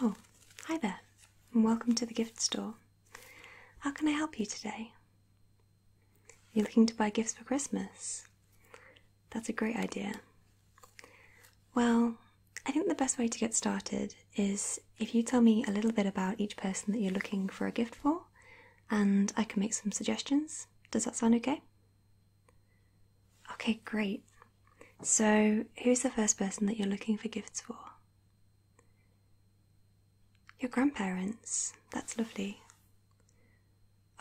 Oh, hi there, and welcome to the gift store. How can I help you today? You're looking to buy gifts for Christmas? That's a great idea. Well, I think the best way to get started is if you tell me a little bit about each person that you're looking for a gift for, and I can make some suggestions. Does that sound okay? Okay, great. So, who's the first person that you're looking for gifts for? Your grandparents. That's lovely.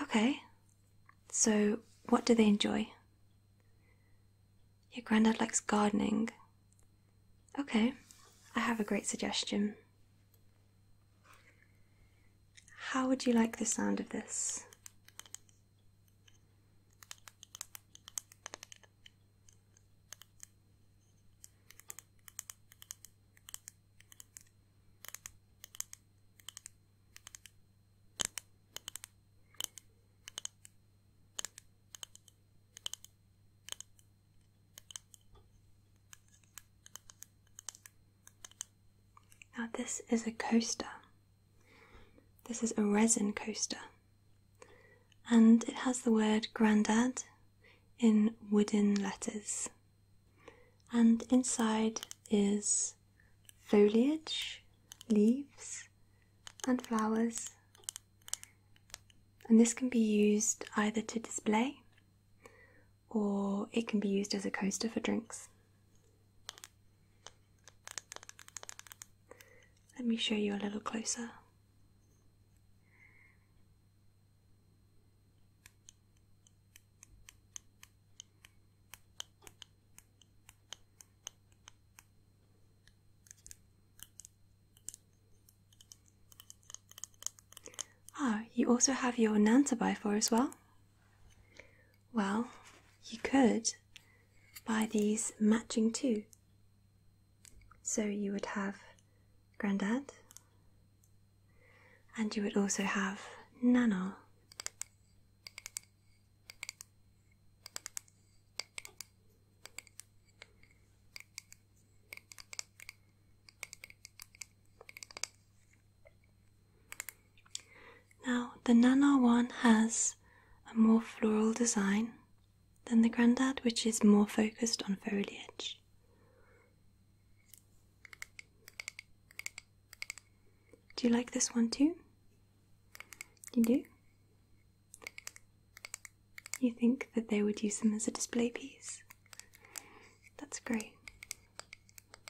Okay. So, what do they enjoy? Your granddad likes gardening. Okay, I have a great suggestion. How would you like the sound of this? Now, this is a coaster. This is a resin coaster. And it has the word Grandad in wooden letters. And inside is foliage, leaves, and flowers. And this can be used either to display or it can be used as a coaster for drinks. Let me show you a little closer. Ah, you also have your Nantabai for as well. Well, you could buy these matching too. So you would have Grandad, and you would also have Nana. Now, the Nana one has a more floral design than the Grandad, which is more focused on foliage. Do you like this one too? You do? You think that they would use them as a display piece? That's great.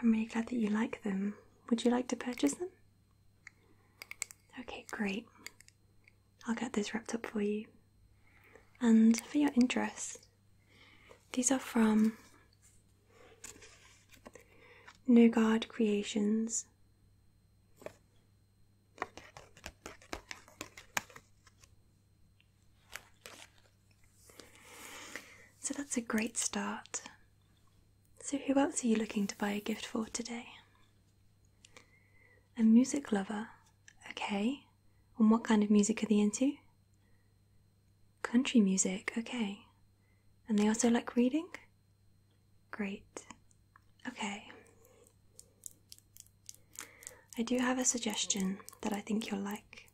I'm really glad that you like them. Would you like to purchase them? Okay, great. I'll get those wrapped up for you. And for your interest, these are from no God Creations. So that's a great start. So, who else are you looking to buy a gift for today? A music lover. Okay. And what kind of music are they into? Country music, okay. And they also like reading? Great. Okay. I do have a suggestion that I think you'll like.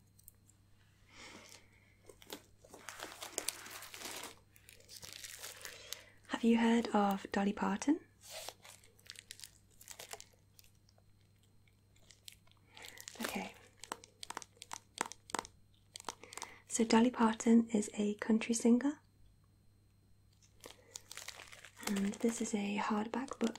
Have you heard of Dolly Parton? Okay. So, Dolly Parton is a country singer, and this is a hardback book.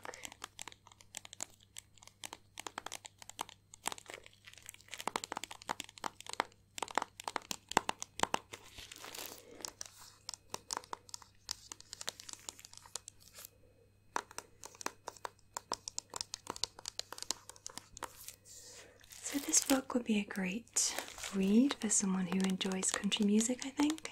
So, this book would be a great read for someone who enjoys country music, I think.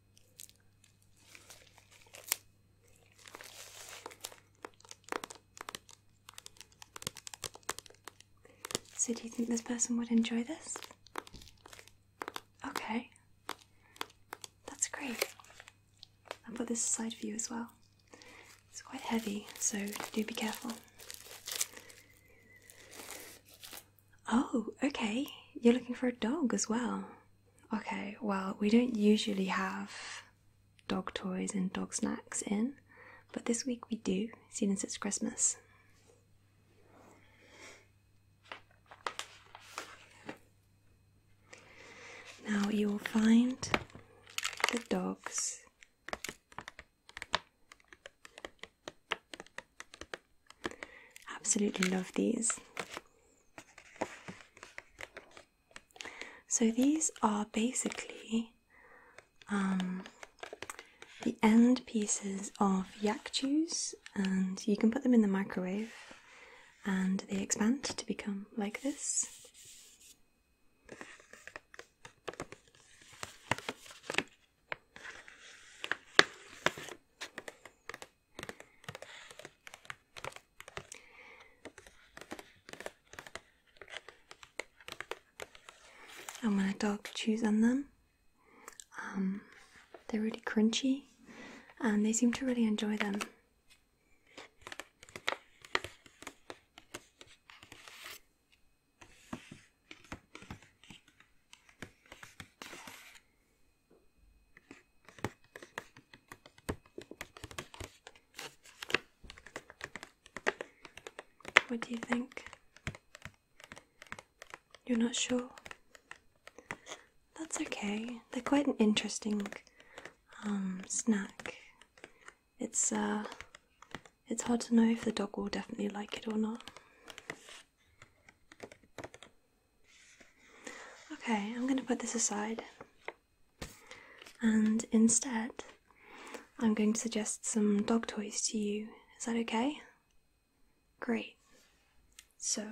So, do you think this person would enjoy this? Okay, that's great. I'll put this aside for you as well. It's quite heavy, so do be careful. Oh, okay. You're looking for a dog as well. Okay, well, we don't usually have dog toys and dog snacks in, but this week we do, since it's Christmas. Now you will find the dogs absolutely love these so these are basically um, the end pieces of yak juice, and you can put them in the microwave and they expand to become like this. And when a dog chews on them, um, they're really crunchy and they seem to really enjoy them. What do you think? You're not sure? That's okay. They're quite an interesting um, snack. It's uh, it's hard to know if the dog will definitely like it or not. Okay, I'm going to put this aside and instead I'm going to suggest some dog toys to you. Is that okay? Great. So,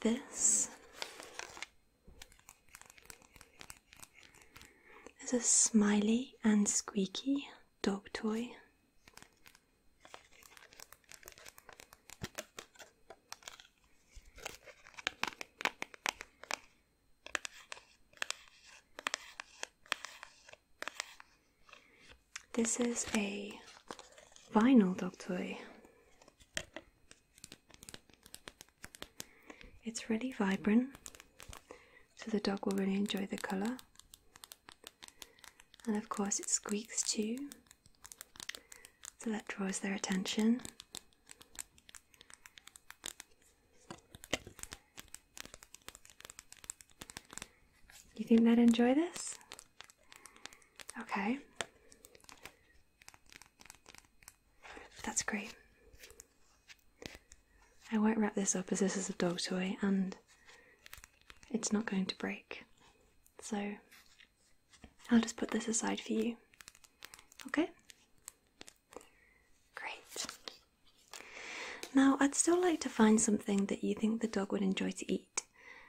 this is a smiley and squeaky dog toy this is a vinyl dog toy. It's really vibrant, so the dog will really enjoy the colour. And of course, it squeaks too, so that draws their attention. You think they'd enjoy this? Okay. That's great. I won't wrap this up as this is a dog toy and it's not going to break. So I'll just put this aside for you. Okay? Great. Now, I'd still like to find something that you think the dog would enjoy to eat.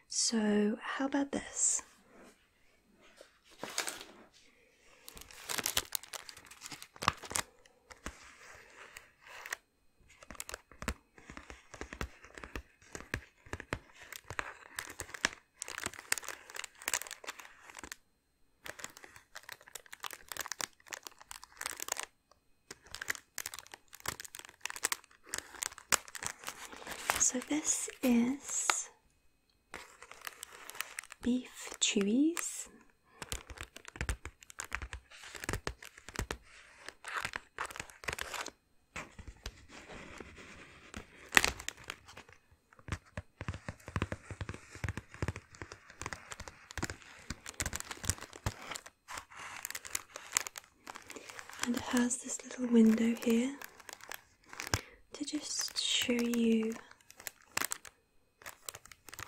So, how about this? So this is beef chewies and it has this little window here to just show you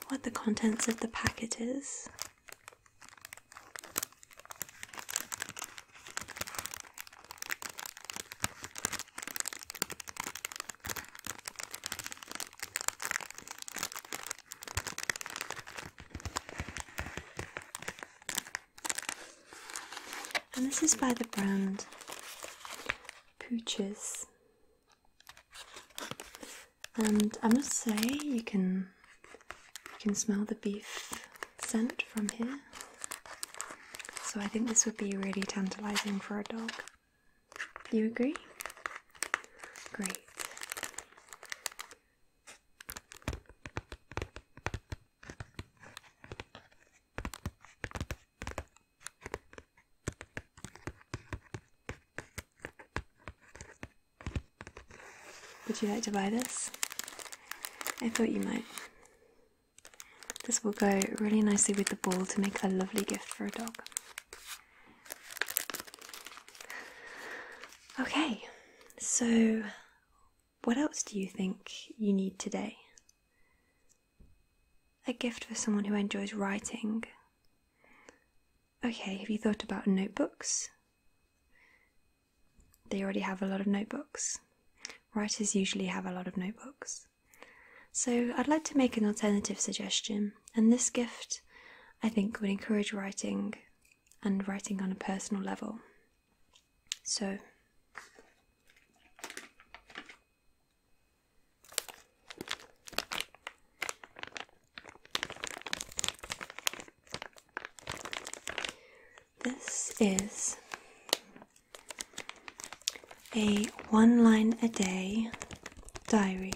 what the contents of the packet is. And this is by the brand Pooches and I must say you can you can smell the beef scent from here. So I think this would be really tantalizing for a dog. You agree? Great. Would you like to buy this? I thought you might. This will go really nicely with the ball to make a lovely gift for a dog. Okay, so what else do you think you need today? A gift for someone who enjoys writing, Okay, have you thought about notebooks? They already have a lot of notebooks. Writers usually have a lot of notebooks. So, I'd like to make an alternative suggestion, and this gift I think would encourage writing and writing on a personal level. So, this is a one line a day diary.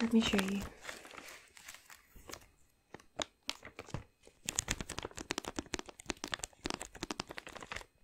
Let me show you.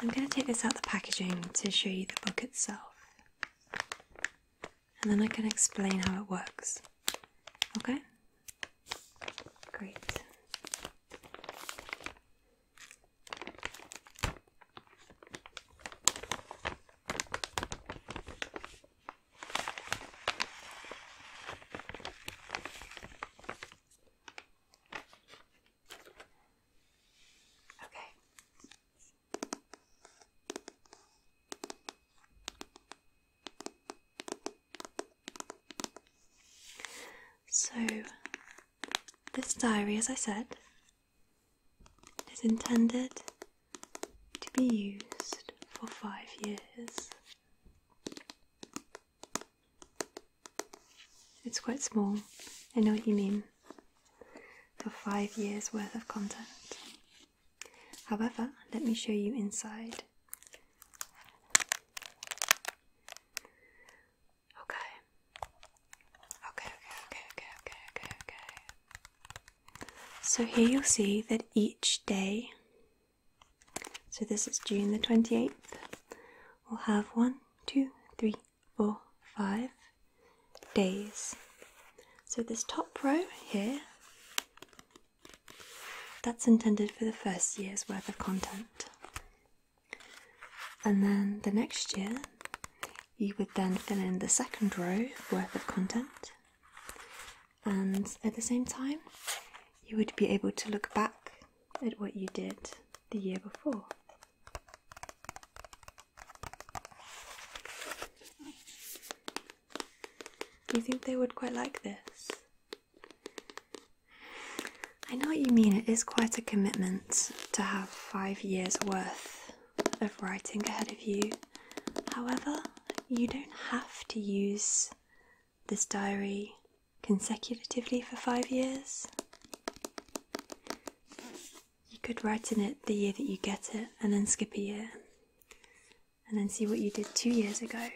I'm going to take this out the packaging to show you the book itself. And then I can explain how it works. Okay? Great. Okay. So, this diary, as I said, is intended to be used for five years. It's quite small, I know what you mean for five years worth of content. However, let me show you inside. Okay. Okay, okay, okay, okay, okay, okay, So here you'll see that each day, so this is June the 28th, we'll have one, two, three, for five days. So, this top row here, that's intended for the first year's worth of content. And then the next year, you would then fill in the second row worth of content. And at the same time, you would be able to look back at what you did the year before. Do you think they would quite like this? I know what you mean, it is quite a commitment to have five years worth of writing ahead of you. However, you don't have to use this diary consecutively for five years. You could write in it the year that you get it and then skip a year and then see what you did two years ago.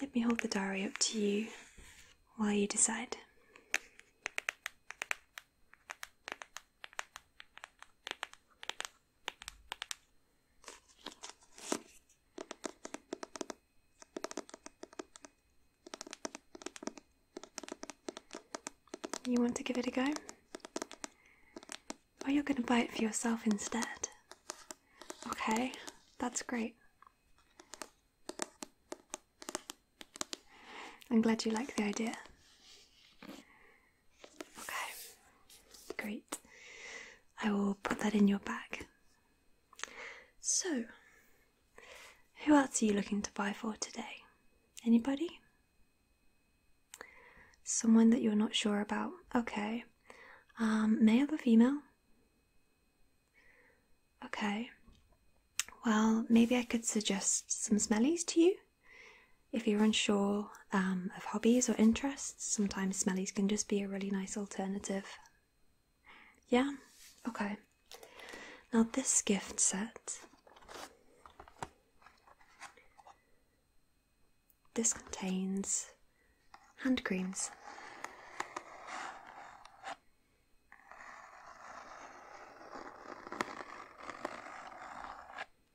Let me hold the diary up to you while you decide. You want to give it a go? Or you're going to buy it for yourself instead? Okay, that's great. I'm glad you like the idea. Okay, great. I will put that in your bag. So, who else are you looking to buy for today? Anybody? Someone that you're not sure about. Okay. Um, male or female? Okay. Well, maybe I could suggest some smellies to you if you're unsure um, of hobbies or interests, sometimes smellies can just be a really nice alternative. Yeah? Okay. Now, this gift set. This contains hand creams.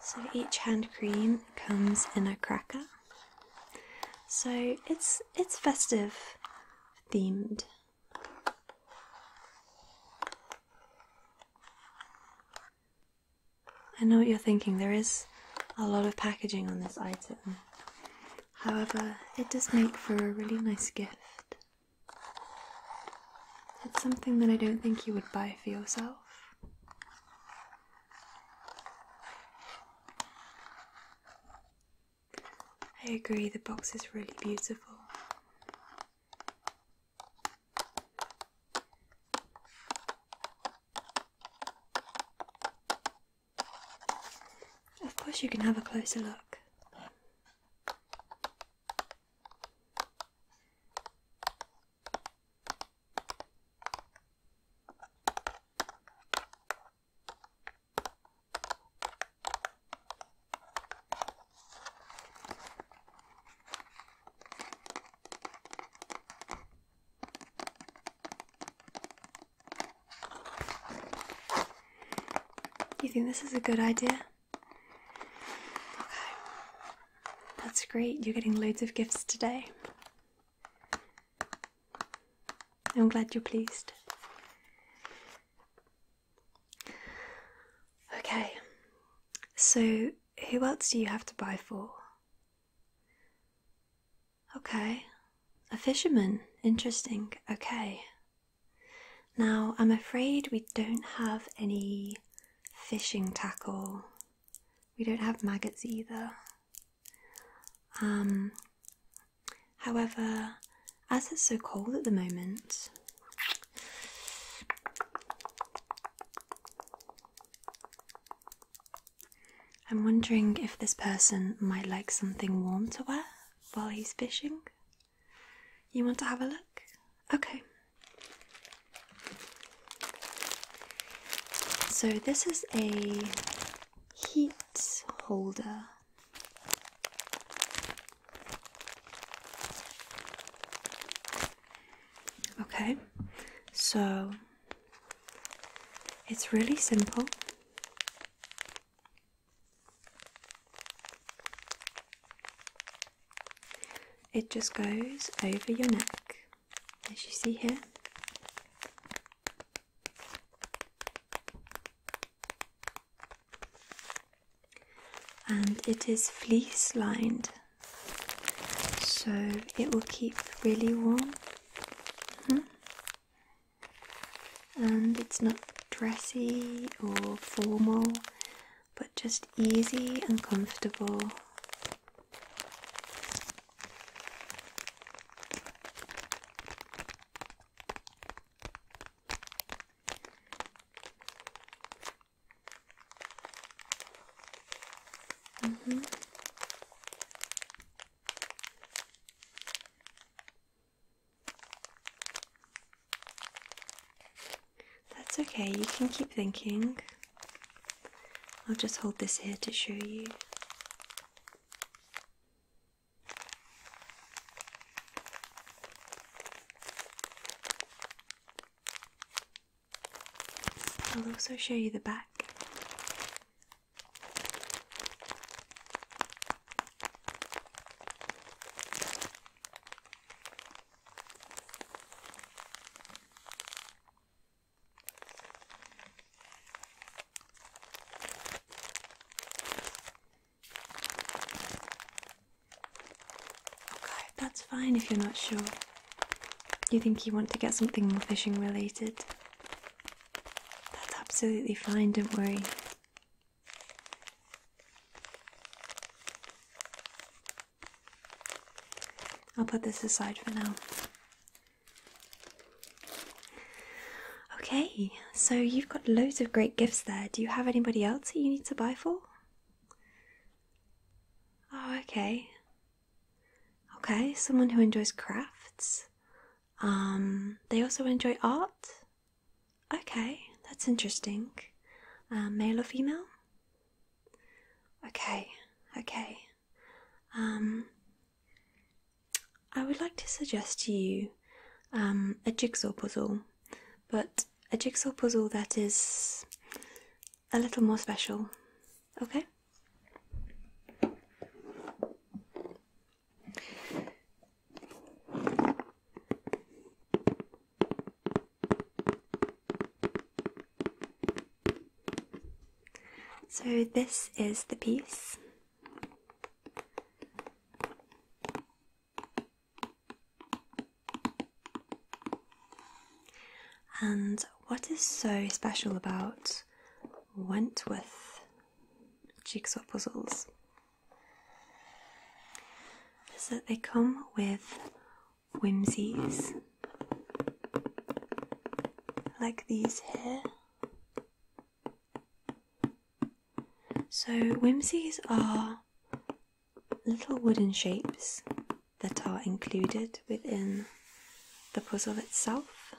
So each hand cream comes in a cracker. So it's it's festive themed. I know what you're thinking, there is a lot of packaging on this item. However, it does make for a really nice gift. It's something that I don't think you would buy for yourself. I agree, the box is really beautiful. Of course, you can have a closer look. You think this is a good idea? That's great, you're getting loads of gifts today. I'm glad you're pleased. Okay, so who else do you have to buy for? Okay, a fisherman. Interesting. Okay. Now, I'm afraid we don't have any fishing tackle we don't have maggots either. Um, however, as it's so cold at the moment, I'm wondering if this person might like something warm to wear while he's fishing. You want to have a look? Okay, so, this is a heat holder. Okay, so it's really simple. It just goes over your neck as you see here. And it is fleece lined, so it will keep really warm. Mm-hmm. And it's not dressy or formal, but just easy and comfortable. Mm -hmm. That's okay, you can keep thinking. I'll just hold this here to show you. I'll also show you the back. Okay, that's fine if you're not sure. You think you want to get something more fishing related? That's absolutely fine, don't worry. I'll put this aside for now. Okay, so you've got loads of great gifts there. Do you have anybody else that you need to buy for? Oh, okay. Okay, someone who enjoys crafts. Um, they also enjoy art. Okay, that's interesting. Um, male or female? Okay, okay. Um, I would like to suggest to you um, a jigsaw puzzle, but a jigsaw puzzle that is a little more special. Okay? So, this is the piece. And what is so special about Wentworth jigsaw puzzles is that they come with whimsies, like these here. So, whimsies are little wooden shapes that are included within the puzzle itself.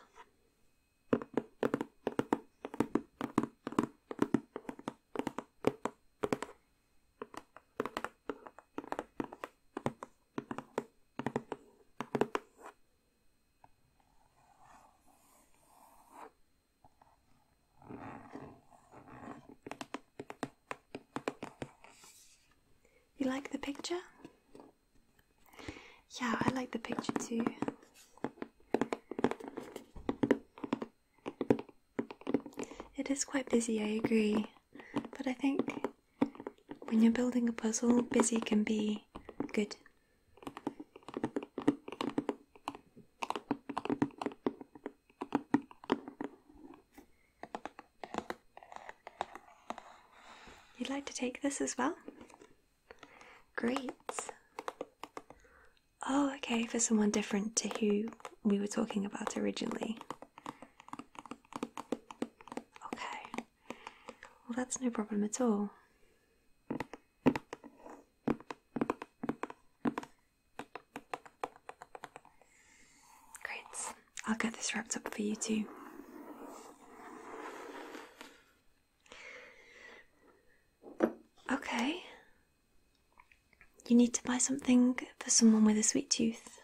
You like the picture? Yeah, I like the picture too. It is quite busy, I agree, but I think when you're building a puzzle, busy can be good. You'd like to take this as well? Great. Oh, okay, for someone different to who we were talking about originally. Okay. Well, that's no problem at all. Great. I'll get this wrapped up for you too. Okay. You need to buy something for someone with a sweet tooth.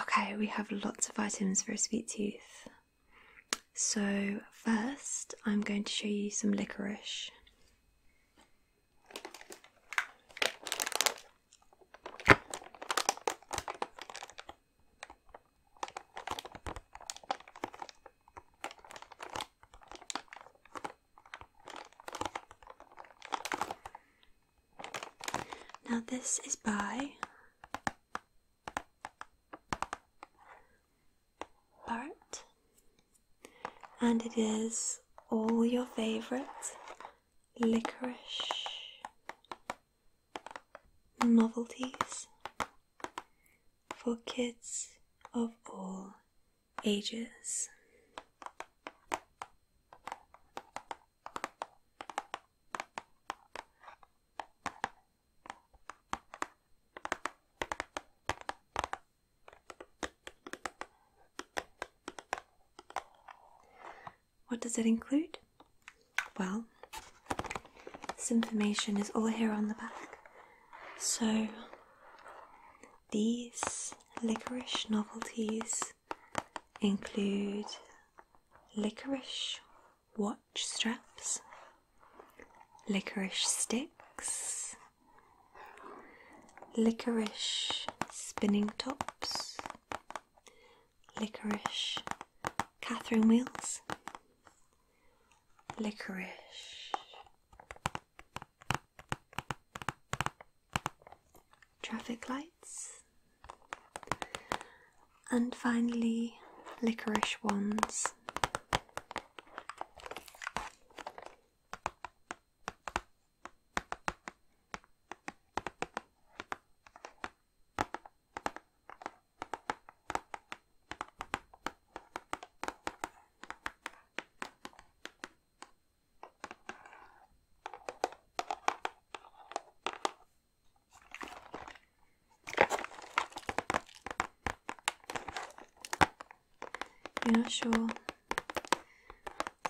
Okay, we have lots of items for a sweet tooth. So, first, I'm going to show you some licorice. Now, this is by Barrett, and it is all your favorite licorice novelties for kids of all ages. What does it include? Well, this information is all here on the back. So, these licorice novelties include licorice watch straps, licorice sticks, licorice spinning tops, licorice Catherine wheels, licorice traffic lights, and finally licorice ones. You're not sure.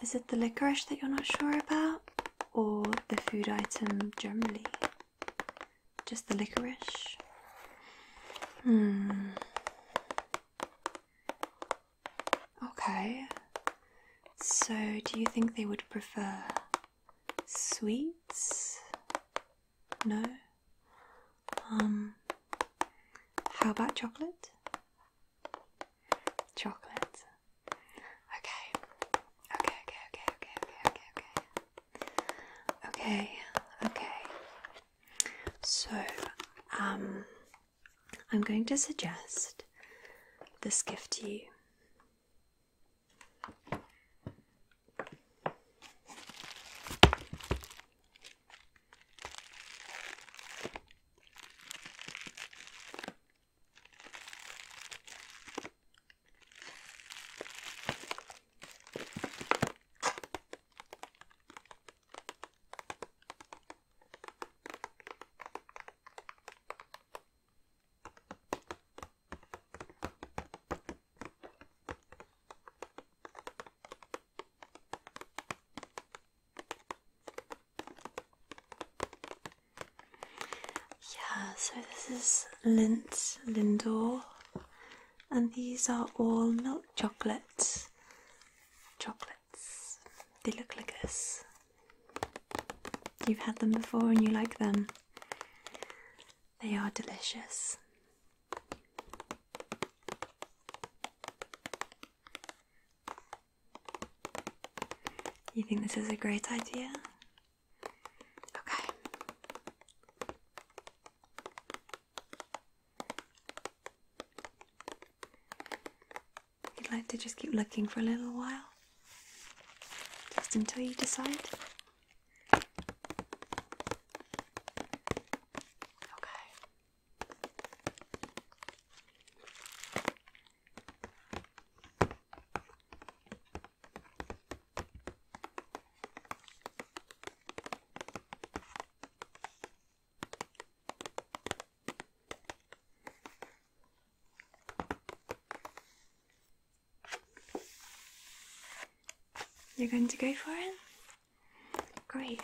Is it the licorice that you're not sure about, or the food item generally? Just the licorice? Hmm. Okay. So, do you think they would prefer sweets? No? Um, how about chocolate? Chocolate. Okay. Okay, okay, okay, okay, okay, okay, okay. Okay, okay. So, um, I'm going to suggest this gift to you. Yeah, so this is Lindt, Lindor, and these are all milk chocolates. Chocolate they look like this. You've had them before and you like them. They are delicious. You think this is a great idea? Okay. You'd like to just keep looking for a little while? Just until you decide? Okay. You're going to go for it? Great.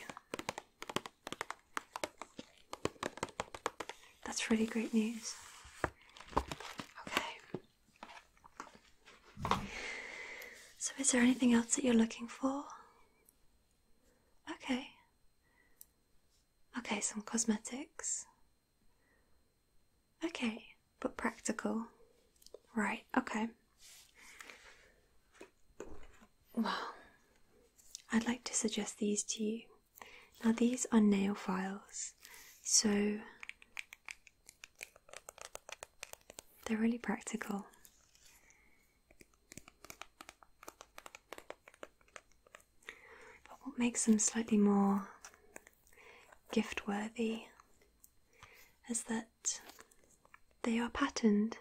That's really great news. Okay. So, is there anything else that you're looking for? Okay. Okay, some cosmetics. Okay, but practical. Right, okay. Well, I'd like to suggest these to you. Now, these are nail files, so they're really practical. But what makes them slightly more gift worthy is that they are patterned.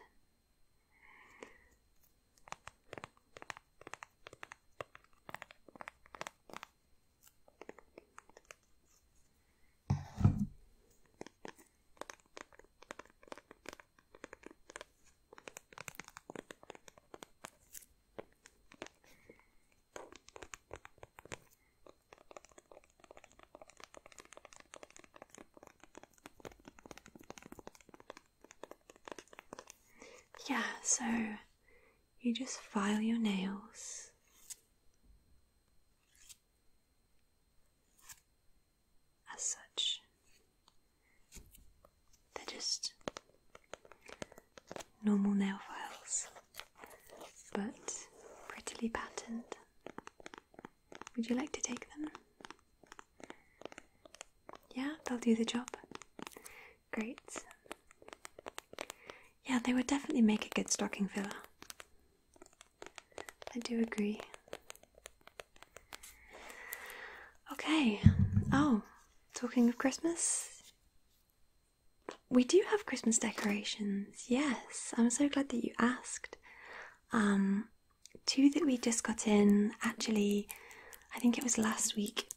Yeah, so you just file your nails as such. They're just normal nail files, but prettily patterned. Would you like to take them? Yeah, they'll do the job. Great. Yeah, they would definitely make a good stocking filler. I do agree. Okay. Oh, talking of Christmas, we do have Christmas decorations. Yes, I'm so glad that you asked. Um, two that we just got in, actually, I think it was last week,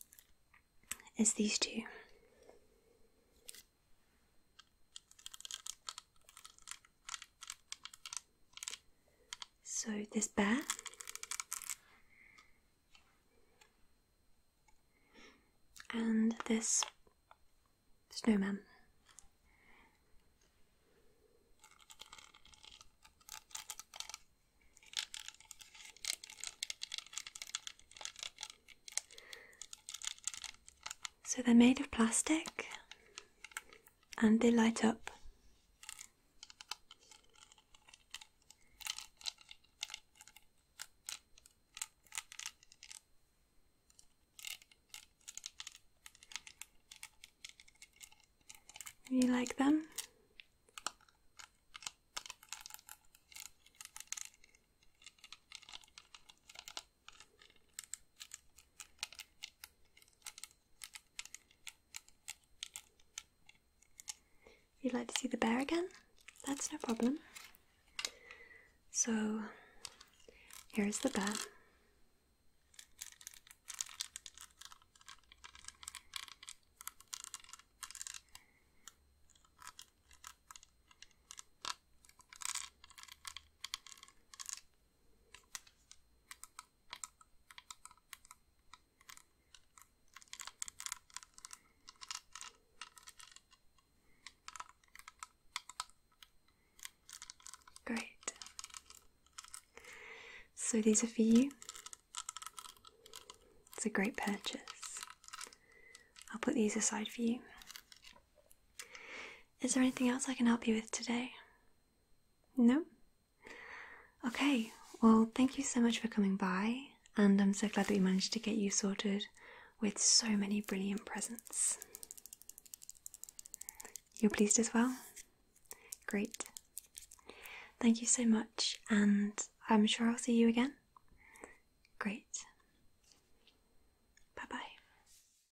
is these two. So this bear and this snowman. So they're made of plastic and they light up. You like them? You'd like to see the bear again? That's no problem. So, here's the bear. Great. So these are for you. It's a great purchase. I'll put these aside for you. Is there anything else I can help you with today? No? Okay, well, thank you so much for coming by, and I'm so glad that we managed to get you sorted with so many brilliant presents. You're pleased as well? Great. Thank you so much, and I'm sure I'll see you again. Great. Bye bye.